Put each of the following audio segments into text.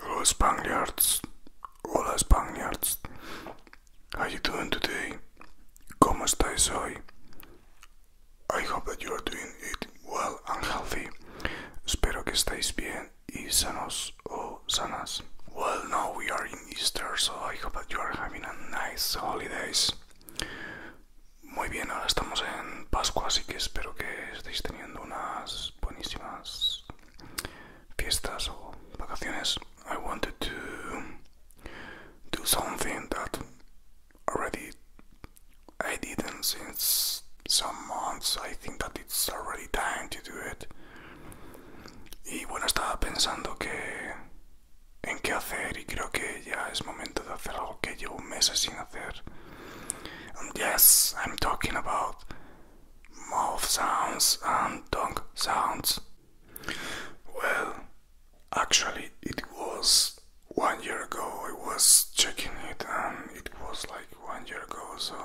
Hello Spaniards, hola Spaniards, how you doing today? ¿Cómo estáis hoy? I hope that you are doing it well and healthy. Espero que estáis bien y sanos o sanas. Well, now we are in celebrating Easter, so I hope that you are having a nice holidays. Muy bien, ahora estamos en Pascua, así que espero que estéis teniendo unas buenísimas fiestas o vacaciones. I wanted to do something that already I didn't since some months. I think that it's already time to do it. And bueno, estaba pensando que en qué hacer y creo que ya es momento de hacer algo que llevo meses sin hacer. And um, yes, I'm talking about mouth sounds and tongue sounds. Well, actually, it was one year ago. I was checking it, and it was like one year ago. So,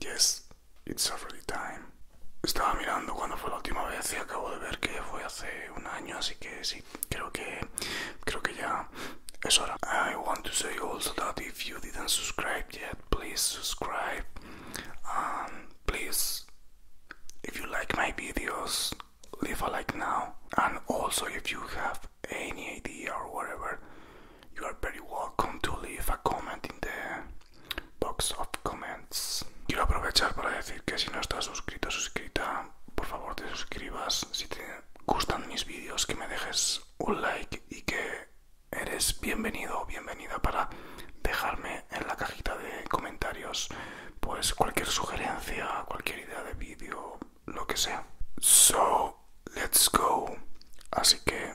yes, it's a already time. Estaba mirando cuando fue la última vez y acabo de ver que fue hace un año, así que sí, creo que, creo que ya es hora. I want to say also that if you didn't subscribe yet, please subscribe. Um, please, if you like my videos, leave a like now. And also, if you have any idea or whatever, you are very welcome to leave a comment in there. box of comments. Quiero aprovechar para decir que si no estás suscrito, suscrita, por favor te suscribas. Si te gustan mis vídeos, que me dejes un like y que eres bienvenido o bienvenida para dejarme en la cajita de comentarios pues cualquier sugerencia, cualquier idea de vídeo, lo que sea. So, let's go. Así que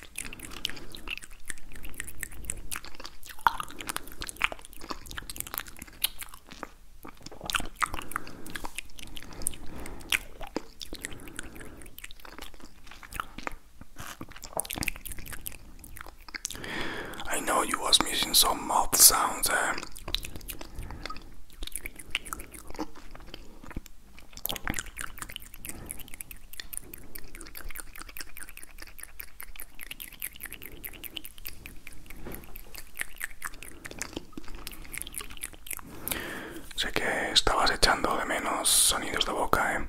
I know you was missing some mouth sounds eh? Sé que estabas echando de menos sonidos de boca, ¿eh?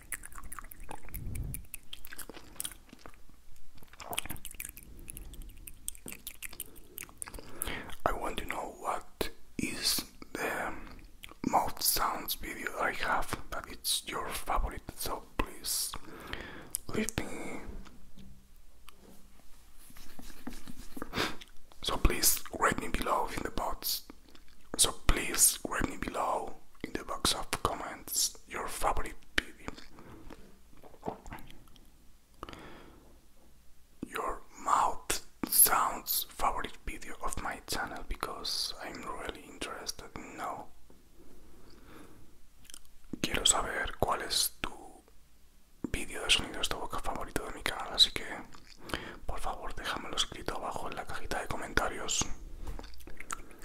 I want to know what is the most sounds video I have that it's your favorite so please leave me so please rate me below in the box so please write me below in the box of comments your favorite video. Your mouth sounds favorite video of my channel because I'm really interested in Quiero saber cuál es tu video de sonidos de boca favorito de mi canal, así que por favor déjamelo escrito abajo en la cajita de comentarios.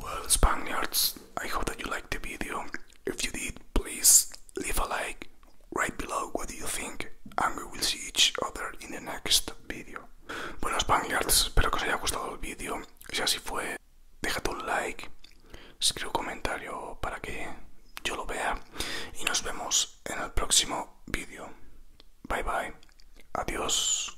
Well, Spaniards, I hope that you liked the video. If you did, please leave a like right below what do you think, and we will see each other in the next video. Bueno, Spangliards, espero que os haya gustado el vídeo. Si así fue, deja un like, escribe un comentario para que yo lo vea. Y nos vemos en el próximo vídeo. Bye bye. Adiós.